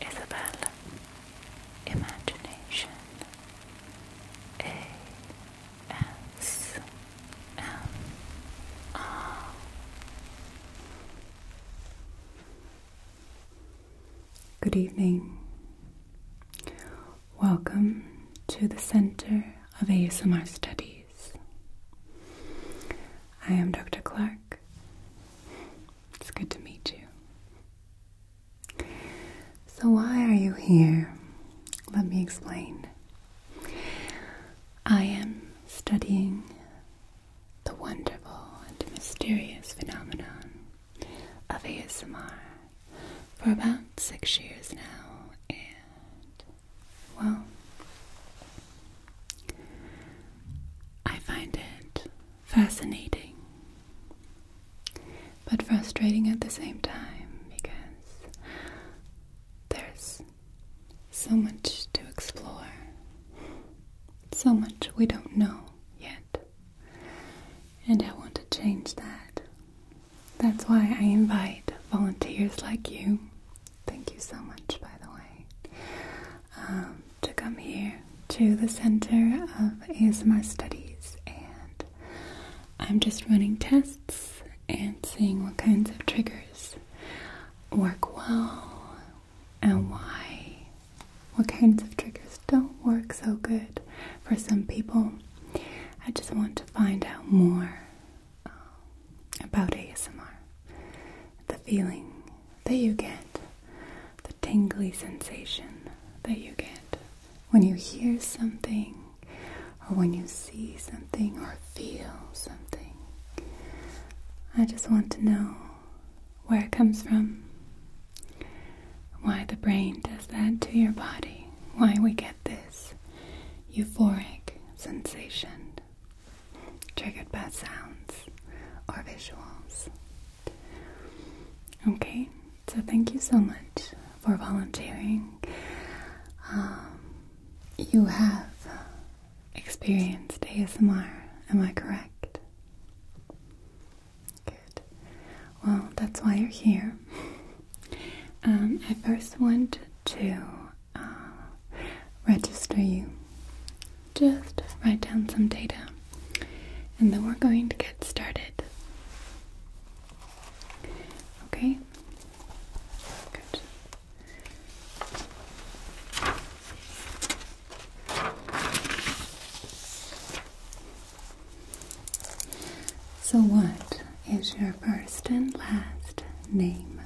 Isabel Imagination A S M R Good evening. Welcome to the Center of ASMR Studies. I am Dr. Clark, it's good to meet you. So, why are you here? Let me explain. I am studying the wonderful and mysterious phenomenon of ASMR for about six years now, and well, I find it fascinating, but frustrating at the same time because there's so much to explore, so much we don't know yet, and I want to change that. That's why I invite volunteers like you. Thank you so much, by the way. Um, to come here to the Center of ASMR Studies, and I'm just running tests and seeing what kinds of triggers work well and why, what kinds of triggers don't work so good for some people. I just want to find out more um, about ASMR, the feeling that you get, the tingly sensation that you get when you hear something, or when you see something, or feel something. I just want to know where it comes from, why the brain does that to your body, why we get this euphoric sensation triggered by sounds or visuals. Okay, so thank you so much for volunteering. Um, you have experienced ASMR, am I correct? Good. Well, that's why you're here. Um, I first want to uh, register you just write down some data and then we're going to get started. Okay? Good. So, what is your first and last name?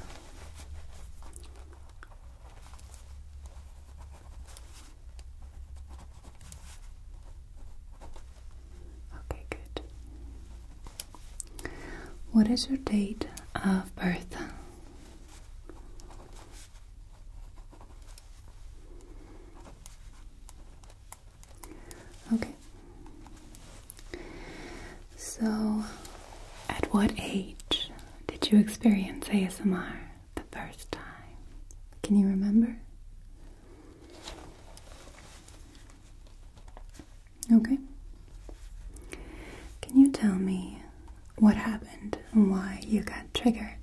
Okay, good. What is your date of birth? Okay. So, at what age did you experience ASMR the first time? Can you remember? Okay. Can you tell me what happened and why you got triggered?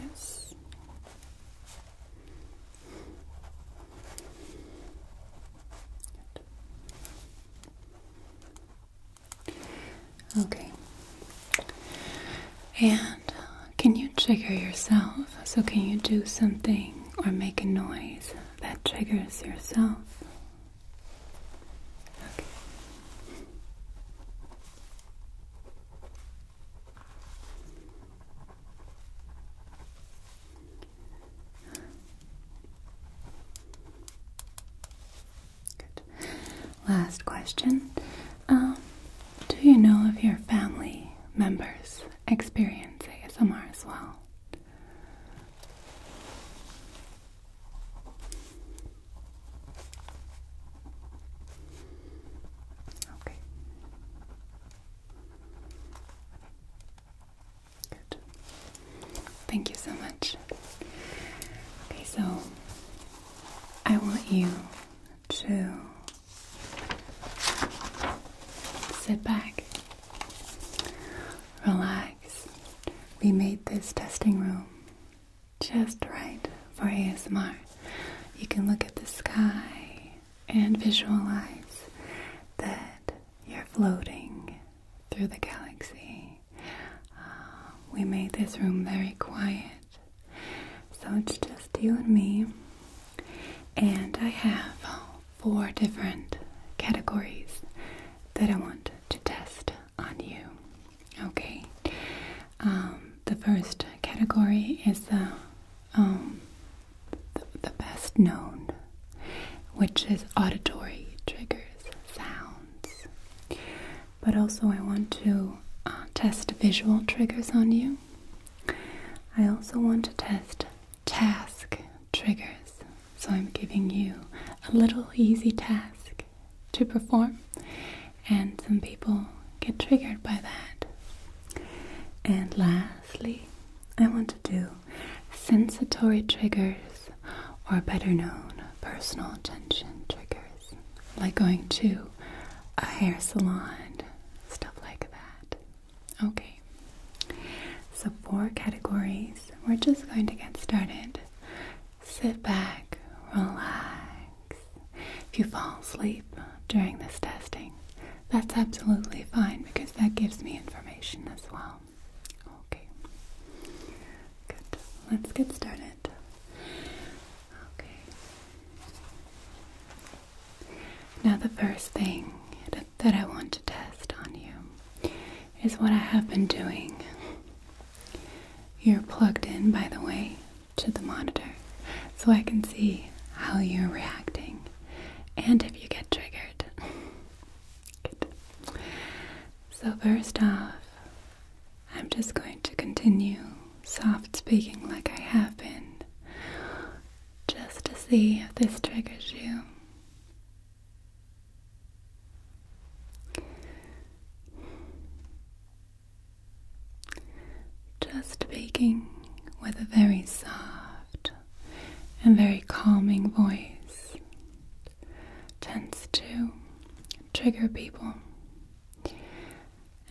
Yes. Okay. And uh, can you trigger yourself? So, can you do something or make a noise that triggers yourself? Okay. Last question. Um, do you know if your family members experience ASMR as well? Okay. Good. Thank you so much. Okay, so I want you to sit back, relax. We made this testing room just right for ASMR you can look at the sky and visualize that you're floating through the galaxy. Um, we made this room very quiet, so it's just you and me. And I have four different categories that I want to test on you. Okay, um, the first category is um, the, the best known, which is auditory triggers, sounds. But also, I want to uh, test visual triggers on you. I also want to test task triggers. So, I'm giving you a little easy task to perform, and some people get triggered by that. And lastly, I want to do sensatory triggers, or better known, personal attention triggers, like going to a hair salon, stuff like that. Okay, so four categories. We're just going to get started. Sit back, relax, if you fall asleep during this testing, that's absolutely fine because that gives me information as well. Okay. Good. Let's get started. Okay. Now, the first thing that, that I want to test on you is what I have been doing. You're plugged in, by the way, to the monitor so I can see how you're reacting and if you get triggered. So, first off, I'm just going to continue soft speaking like I have been just to see if this triggers you. Just speaking with a very soft and very calming voice tends to trigger people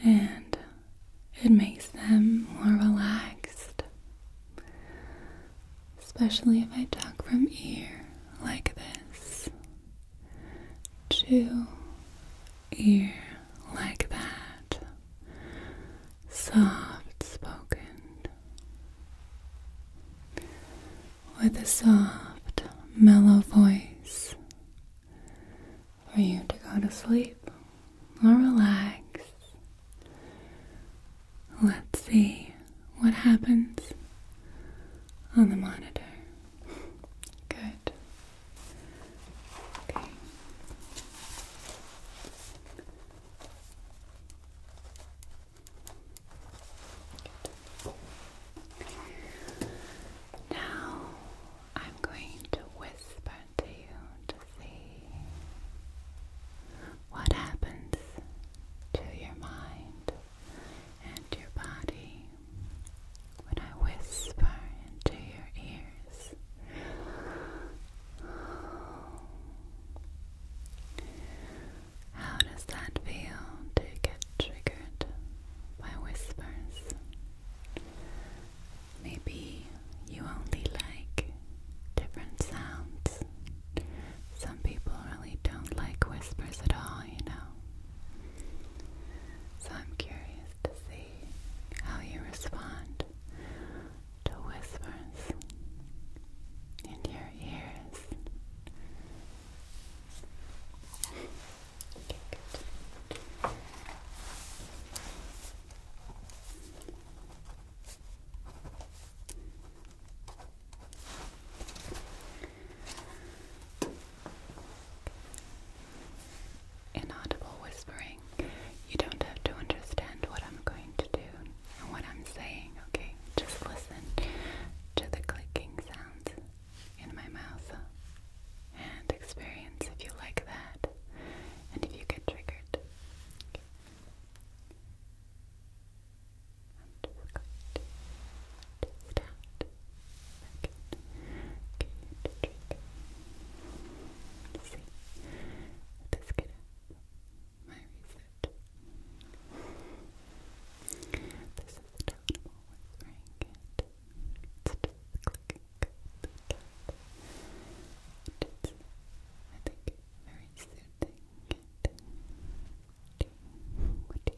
and it makes them more relaxed, especially if I talk from ear like this to ear like that. Soft spoken. With a soft, mellow voice for you to go to sleep or relax. Let's see what happens on the monitor. Good. Now I'm going to whisper to you to see what happens to your mind and your body when I whisper into your ears. How does that feel to get triggered by whispers? Maybe you only like different sounds. Some people really don't like whispers at all, you know. So I'm curious to see how you respond to whispers in your ears inaudible whispering. You don't have to understand what I'm going to do and what I'm saying, okay? Just listen to the clicking sounds in my mouth and experience if you like that and if you get triggered. Okay. Let's my research. This is the downable whispering cat. It's just clicking the cat. It's, I very soothing What do you think?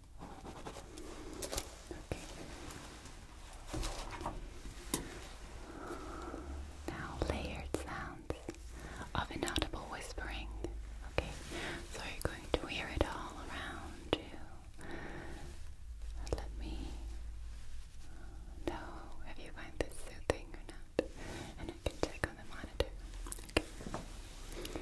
Now layered sounds of inaudible whispering. Okay, so you're going to hear it all around you. Let me know if you find this soothing or not, and I can check on the monitor. Okay.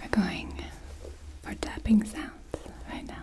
we're going for tapping sounds right now.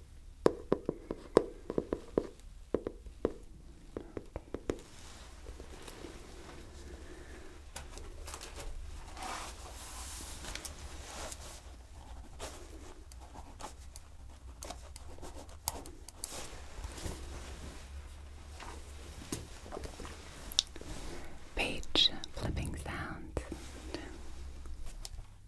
Page flipping sounds.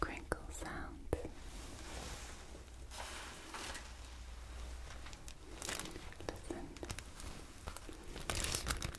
Crinkle sound. Listen. Crinkle,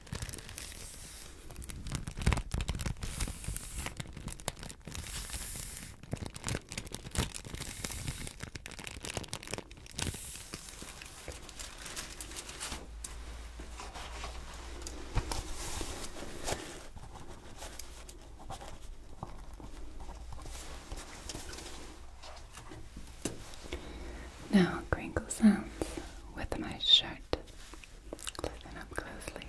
Now, crinkle sounds with my shirt it. Listen up closely.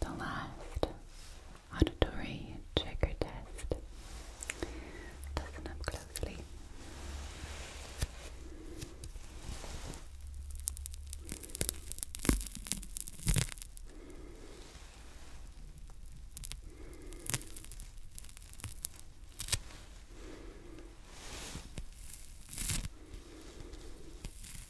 The last auditory trigger test. Listen up closely.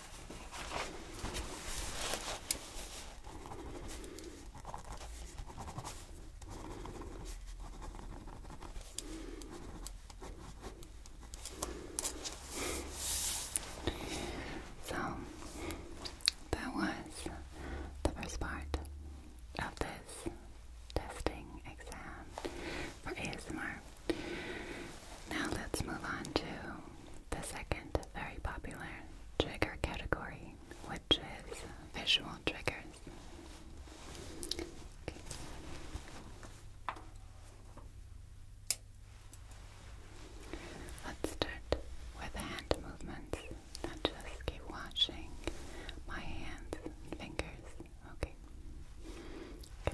So that was the first part of this testing exam for ASMR. Now let's move on to the second very popular trigger category, which is visual triggers. Let's start with hand movements. I just keep washing my hands fingers. Okay. Good.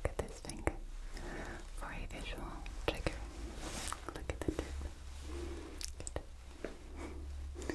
Look at this finger for a visual trigger. Look at the tip. Good.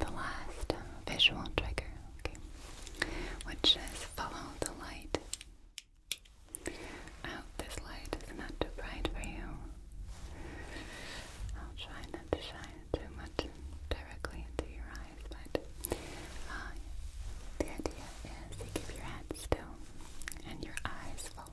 The last visual trigger, which is follow the light I oh, hope this light is not too bright for you. I'll try not to shine too much directly into your eyes, but uh, the idea is you keep your head still and your eyes full